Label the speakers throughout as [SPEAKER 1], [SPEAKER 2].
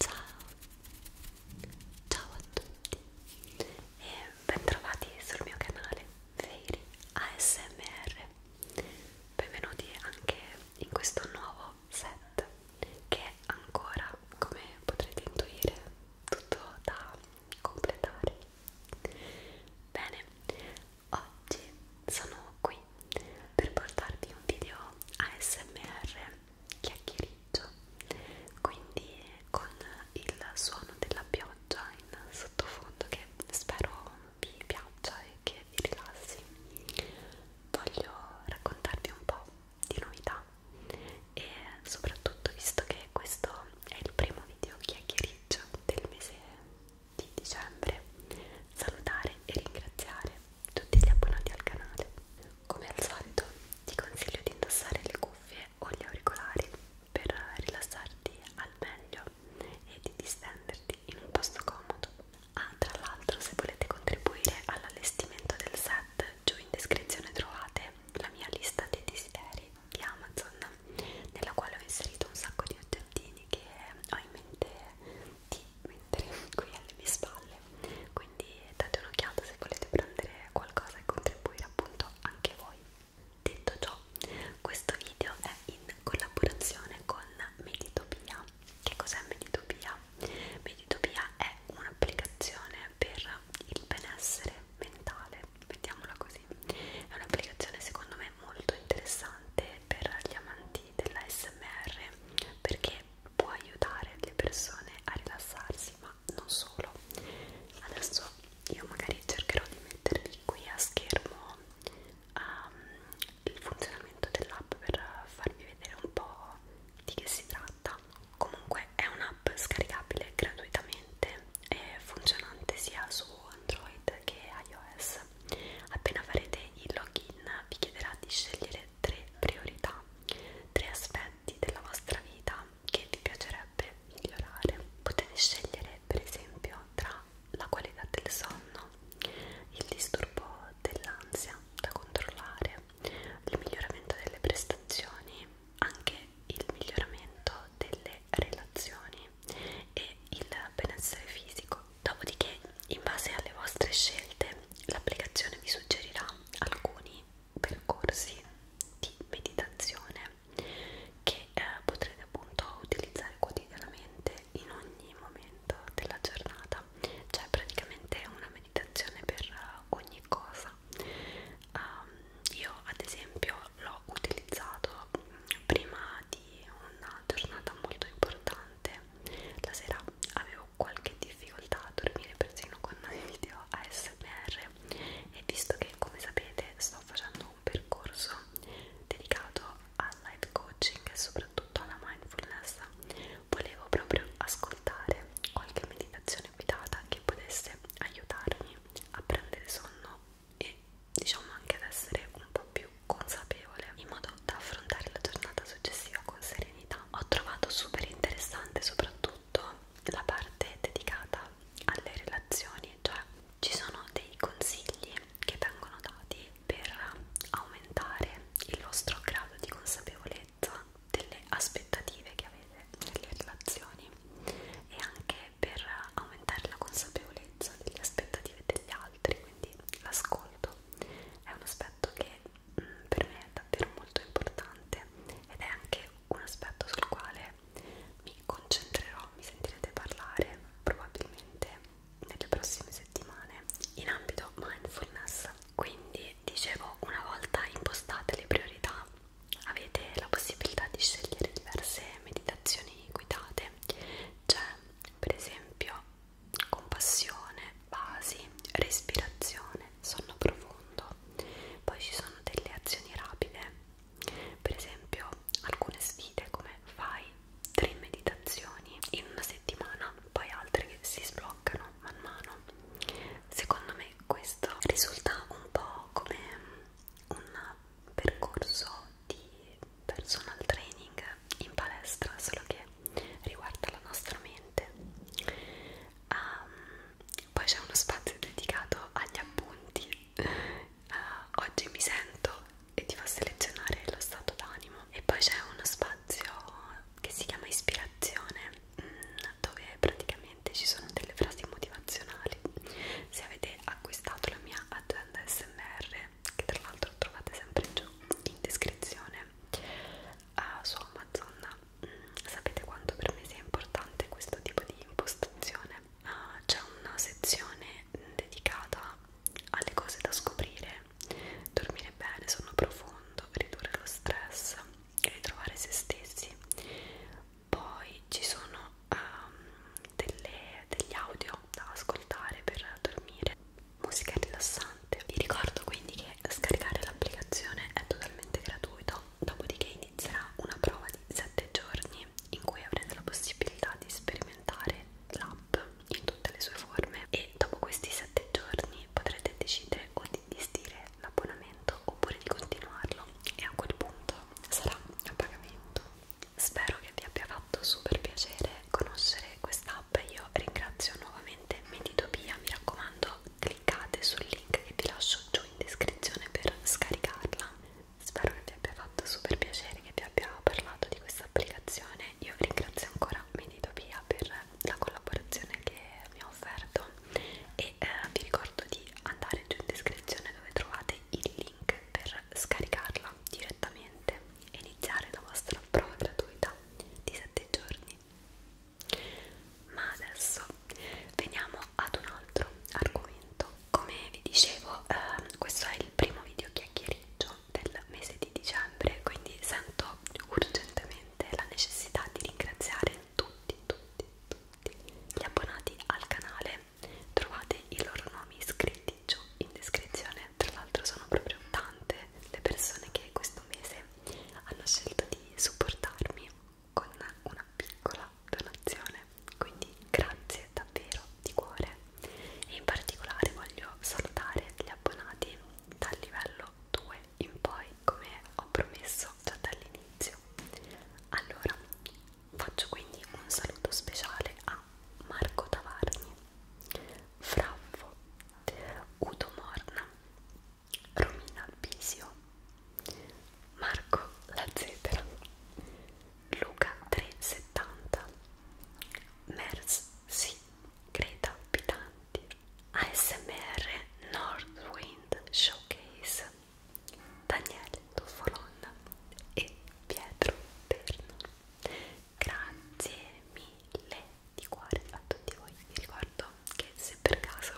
[SPEAKER 1] Ciao, ciao a tutti e bentrovati sul mio canale Veiri ASMR. Benvenuti anche in questo nuovo set che ancora, come potrete intuire tutto da completare bene oggi sono qui per portarvi un video ASMR chiacchieriggio quindi con il suono della pioggia in sottofondo che spero vi piaccia e che vi rilassi voglio raccontarvi un po' di novità e soprattutto visto che questo è il primo video chiacchiericcio del mese di dicembre salutare e ringraziare tutti gli abbonati al canale come al solito ti consiglio di indossare le cuffie o gli auricolari per rilassarti al meglio e di distenderti in un posto comodo ah tra l'altro se volete contribuire all'allestimento del set Giù in descrizione trovate la mia lista dei desideri di Amazon, nella quale ho inserito un sacco di oggettini che ho in mente di mettere qui alle mie spalle. Quindi date un'occhiata se volete prendere qualcosa e contribuire appunto anche voi. Detto ciò, questo video è in collaborazione con Meditopia. Che cos'è Meditopia? Meditopia è un'applicazione per il benessere mentale, mettiamola così. È un'applicazione secondo me molto interessante per gli amanti della SMR perché può aiutare le persone a rilassarsi, ma non solo. Adesso io magari cercherò di mettervi qui a schermo um, il funzionamento dell'app per farvi vedere un po' di che si tratta comunque è un'app scaricabile gratuitamente e funzionante sia su Android che iOS appena farete il login vi chiederà di scegliere tre priorità tre aspetti della vostra vita che vi piacerebbe migliorare potete scegliere per esempio tra la qualità del sonno il disturbo dell'ansia da controllare il miglioramento delle prestazioni, anche il miglioramento delle relazioni e il benessere fisico. Dopodiché, in base alle vostre scelte, l'applicazione vi suggerirà alcuni percorsi di meditazione che eh, potrete appunto utilizzare quotidianamente in ogni momento della giornata. C'è cioè, praticamente una meditazione per eh, ogni cosa um, io ad esempio l'ho utilizzato prima di una giornata molto importante la sera avevo qualche difficoltà a dormire persino con i video ASMR e visto che come sapete sto facendo un percorso dedicato al life coaching e soprattutto alla mindfulness volevo proprio ascoltare qualche meditazione guidata che potesse aiutarmi a prendere sonno e diciamo anche ad essere un po' più consapevole in modo da affrontare la giornata successiva con serenità. Ho trovato super interessante soprattutto la parte dedicata alle relazioni, cioè ci sono dei consigli che vengono dati per aumentare il vostro grado di consapevolezza delle aspettative che avete nelle relazioni e anche per aumentare la consapevolezza delle aspettative degli altri, quindi l'ascolto è un aspetto che mm, per me è davvero molto importante ed è anche un aspetto sul quale mi concentrerò, mi sentirete parlare probabilmente nelle prossime settimane in ambito mindfulness quindi dicevo una volta impostate le priorità avete la possibilità di scegliere diverse meditazioni guidate c'è per esempio compassione, basi, respirazione, sonno profondo poi ci sono delle azioni rapide per esempio alcune sfide come fai tre meditazioni in una settimana, poi altre che si sbloccano man mano. Secondo me questo risulta un po' come un percorso di personal training in palestra, solo che riguarda la nostra mente. Um, poi c'è uno spazio dedicato agli appunti. Uh, oggi mi sento e ti fa selezionare lo stato d'animo e poi c'è uno spazio che si chiama ispirazione mm, dove praticamente ci sono delle frasi motivazionali se avete acquistato la mia agenda smr che tra l'altro trovate sempre giù in descrizione uh, su Amazon mm, sapete quanto per me sia importante questo tipo di impostazione uh, c'è una sezione dedicata alle cose da scoprire, dormire bene, sonno profondo, ridurre lo stress, ritrovare se stessi. Poi ci sono um, delle, degli audio da ascoltare per dormire, musica rilassante. Vi ricordo quindi che scaricare l'applicazione è totalmente gratuito, dopodiché inizierà una prova di 7 giorni in cui avrete la possibilità di sperimentare l'app in tutte le sue forme e dopo questi 7 giorni potrete decidere o di disdire l'abbonamento oppure di continuarlo e a quel punto sarà a pagamento. Spero che vi abbia fatto super piacere conoscere quest'app, io ringrazio nuovamente Meditopia, mi raccomando cliccate sul link che vi lascio giù in descrizione per scaricarla. Spero che vi abbia fatto fatto super piacere che vi abbia parlato di questa applicazione. Io ringrazio ancora Meditopia per la collaborazione che mi ha offerto e eh, vi ricordo di andare giù in descrizione dove trovate il link per scaricarla direttamente e iniziare la vostra prova gratuita di 7 giorni. Ma adesso veniamo ad un altro argomento come vi dicevo eh, questo è il primo video chiacchieriggio del mese di dicembre quindi sento urgentemente la necessità di ringraziare tutti tutti tutti gli abbonati al canale trovate i loro nomi iscritti giù in descrizione tra l'altro sono proprio tante le persone che questo mese hanno scelto di supportarmi con una piccola donazione quindi grazie davvero di cuore e in particolare voglio salutare gli abbonati dal livello 2 in poi come ho promesso già dall'inizio allora faccio quindi un saluto speciale a Marco Tavarni Fraffo Udo Morna Romina Bisio Marco Lazzetera Luca 370 Mers sì, Greta Pitanti ASMR Northwind Showcase Daniele Tuffolon e Pietro Perno Grazie mille di cuore a tutti voi vi ricordo che se per caso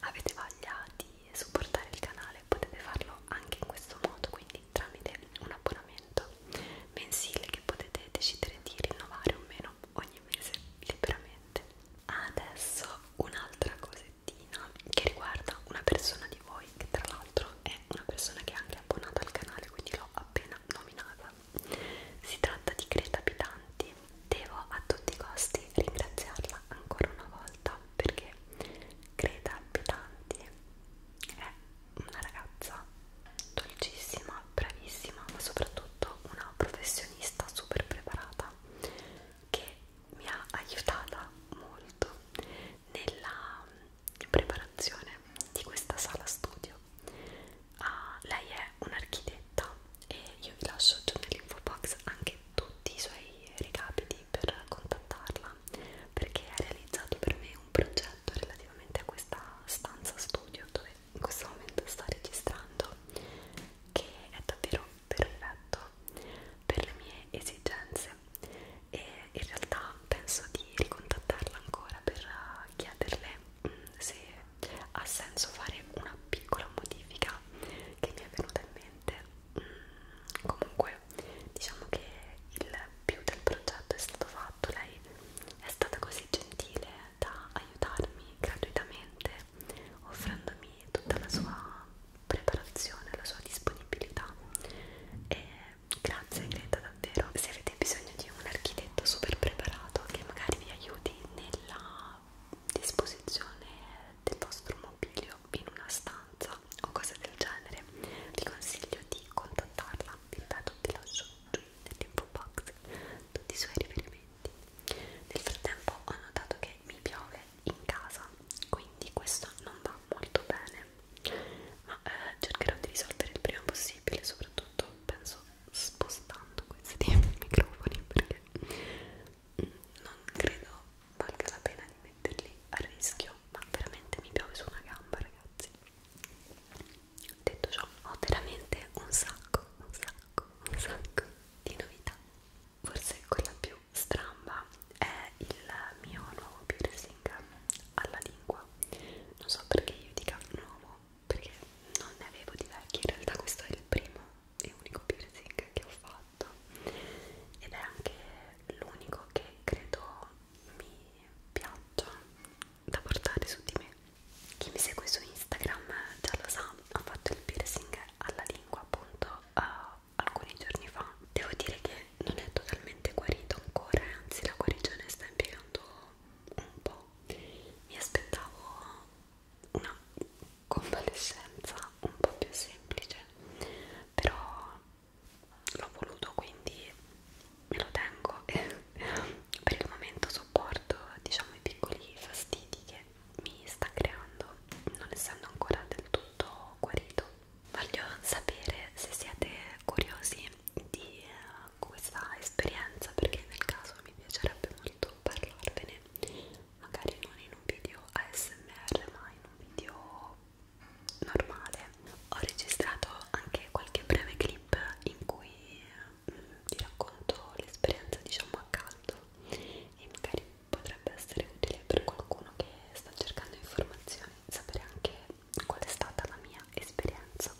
[SPEAKER 1] avete voglia di supportare il canale potete farlo anche in questo modo quindi tramite un abbonamento mensile che potete decidere di rinnovare o meno ogni mese liberamente. Adesso un'altra cosettina che riguarda una persona di voi che tra l'altro è una persona che è anche abbonata al canale, quindi l'ho appena nominata. Si tratta di Greta Pitanti. Devo a tutti i costi ringraziarla ancora una volta perché Greta Pitanti è eh, una ragazza dolcissima, bravissima, ma soprattutto una professionista super preparata che mi ha aiutata molto nella preparazione di questa sala studio. Uh, lei è un'architetta e io vi lascio giù nell'info box anche anche tutti i suoi recapiti per contattarla perché ha realizzato per me un progetto relativamente a questa stanza studio dove in questo momento sta registrando che è davvero perfetto per le mie esigenze e in realtà penso di ricontattarla ancora per uh, chiederle mm, se ha senso fare una piccola modifica che mi è venuta in mente comunque diciamo che il più del progetto è stato fatto lei è stata così gentile da aiutarmi gratuitamente offrendomi tutta la sua preparazione la sua disponibilità e grazie Greta davvero se avete bisogno di un architetto super preparato che magari vi aiuti nella disposizione del vostro mobilio in una stanza o cose del genere vi consiglio di contattarla vi ripeto vi lascio giù nell'info box tutti i suoi riferimenti nel frattempo ho notato che mi piove in casa quindi questo non va molto bene ma eh, cercherò di risolvere il prima possibile soprattutto penso spostando questi microfoni perché non credo valga la pena di metterli a rischio ma veramente mi piove su una gamba ragazzi detto ciò ho veramente un sacco un sacco un sacco di novità forse quella più stramba è il mio nuovo piercing alla lingua non so perché io dica nuovo perché non ne avevo di vecchi in realtà questo è il primo è l'unico piercing che ho fatto ed è anche l'unico che credo mi piaccia da portare su di me. Chi mi segue su Instagram già lo sa, ho fatto il piercing alla lingua appunto uh, alcuni giorni fa. Devo dire che non è totalmente guarito ancora, anzi la guarigione sta impiegando un po'. Mi aspettavo una convalescenza un po' più semplice però l'ho voluto quindi me lo tengo e per il momento sopporto diciamo i piccoli fastidi che mi sta creando non essendo ancora del tutto guarito voglio sapere se siete curiosi di eh, questa esperienza perché nel caso mi piacerebbe molto parlarvene magari non in un video ASMR ma in un video normale ho registrato anche qualche breve clip in cui mh, mm, vi racconto l'esperienza diciamo a caldo e magari potrebbe essere utile per qualcuno che sta cercando informazioni sapere anche qual è stata la mia esperienza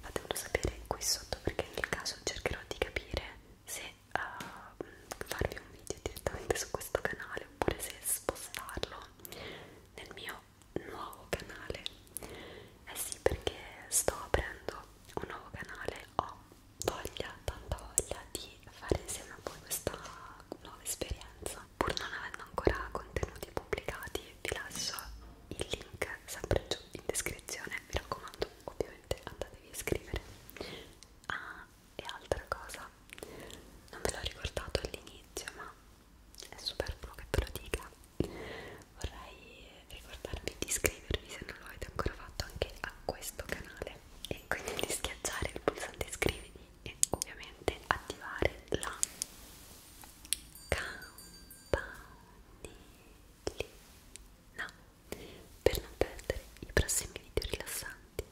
[SPEAKER 1] fatemelo sapere qui sotto perché nel caso cercherò di capire se uh, farvi un video direttamente su questo canale oppure se spostarlo nel mio nuovo canale eh sì perché sto aprendo un nuovo canale ho voglia, tanta voglia di fare insieme a voi questa nuova esperienza pur non avendo ancora contenuti pubblicati vi lascio il link sempre giù in descrizione mi raccomando ovviamente andatevi a iscrivere ah e altra cosa non ve l'ho ricordato all'inizio ma è superfluo che ve lo dica vorrei ricordarvi di iscrivervi se non lo avete ancora fatto anche a questo canale e quindi di schiacciare il pulsante iscriviti e ovviamente attivare la campanellina per non perdere i prossimi video rilassanti.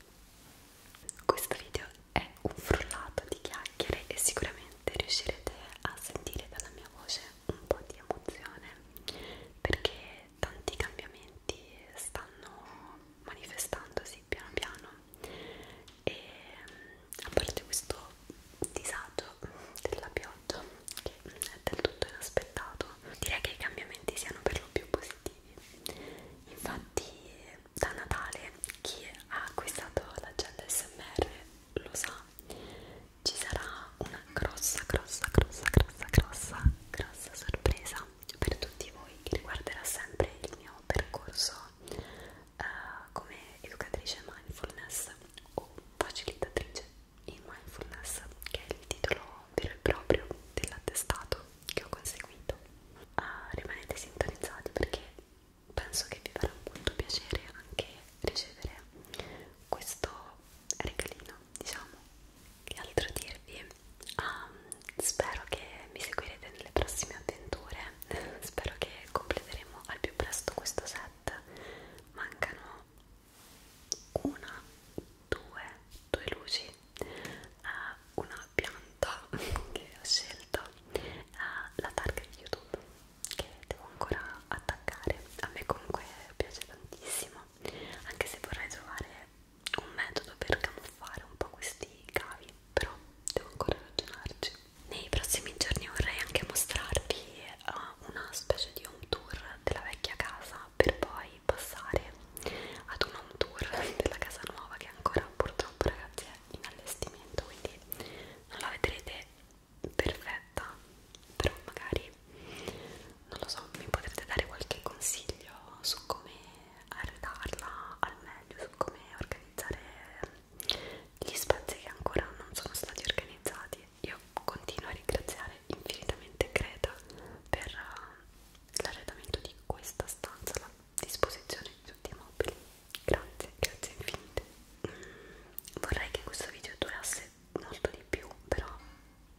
[SPEAKER 1] Questo video è un frullato di chiacchiere e sicuramente riuscirete a sentire dalla mia voce un po' di emozione perché tanti cambiamenti stanno manifestandosi piano piano e a parte questo disagio della pioggia fatto che è del tutto inaspettato direi che i cambiamenti siano per lo più positivi infatti da Natale chi ha acquistato l'agenda SMR lo sa ci sarà una grossa grossa grossa grossa grossa grossa sorpresa per tutti voi che riguarderà sempre il mio percorso eh, come educatrice mindfulness o facilitatrice in mindfulness, che è il titolo vero e proprio dell'attestato che ho conseguito. Uh, rimanete sintonizzati perché penso che vi farà molto piacere anche ricevere questo regalino, diciamo. Che altro dirvi? Um, spero che mi seguirete nelle prossime avventure, spero che completeremo al più presto questo set. Mancano una, due, due luci, eh, una pianta che ho scelto, eh, la targa di YouTube che devo ancora attaccare. A me comunque piace tantissimo, anche se vorrei trovare un metodo per camuffare un po' questi cavi, però devo ancora ragionarci. Nei prossimi giorni vorrei anche mostrarvi uh, una specie di home tour della vecchia casa per poi passare ad un home tour della casa nuova che ancora purtroppo ragazzi è in allestimento quindi non la vedrete perfetta però magari non lo so mi potrete dare qualche consiglio su come arredarla al meglio su come organizzare gli spazi che ancora non sono stati organizzati quindi io continuo a ringraziare infinitamente Greta per uh, l'arredamento di questa stanza, la disposizione di tutti i mobili. Grazie, grazie infinite. Mm, vorrei che questo video durasse molto di più, però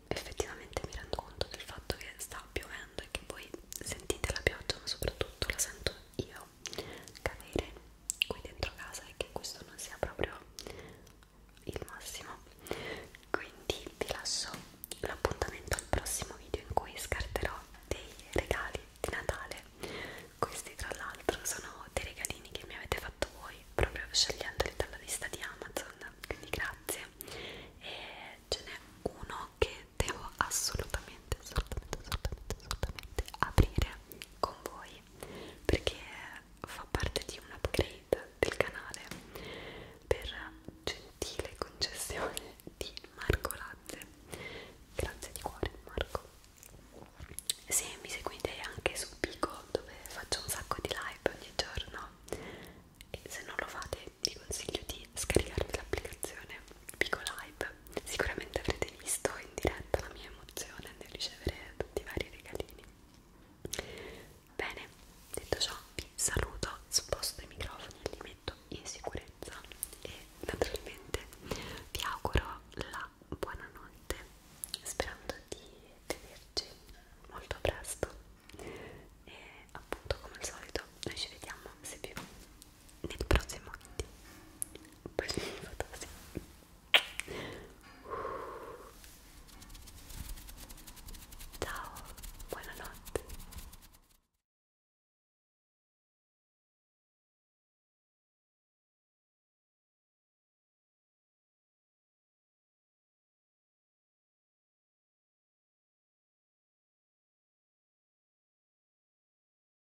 [SPEAKER 1] effettivamente mi rendo conto del fatto che sta piovendo e che voi sentite la pioggia, ma soprattutto la sento io cadere qui dentro casa e che questo non sia proprio il massimo quindi vi lascio l'appuntamento al prossimo video in cui scarterò dei regali di Natale questi tra l'altro sono dei regalini che mi avete fatto voi proprio scegliendoli dalla lista di Amazon quindi grazie e ce n'è uno che devo assolutamente assolutamente assolutamente assolutamente aprire con voi perché fa parte di un upgrade del canale per gentile concessione di Marco Lazze grazie di cuore Marco se mi seguite anche su Pico dove faccio un sacco di live ogni giorno e se non lo fate vi consiglio di scaricarvi l'applicazione Pico Live sicuramente avrete visto in diretta la mia emozione nel ricevere tutti i vari regalini bene, detto ciò vi saluto, sposto i microfoni e li metto in sicurezza e naturalmente vi auguro la buonanotte sperando di vederci molto presto e appunto come al solito noi ci vediamo se vi va nel prossimo video preso in foto sì. ciao buonanotte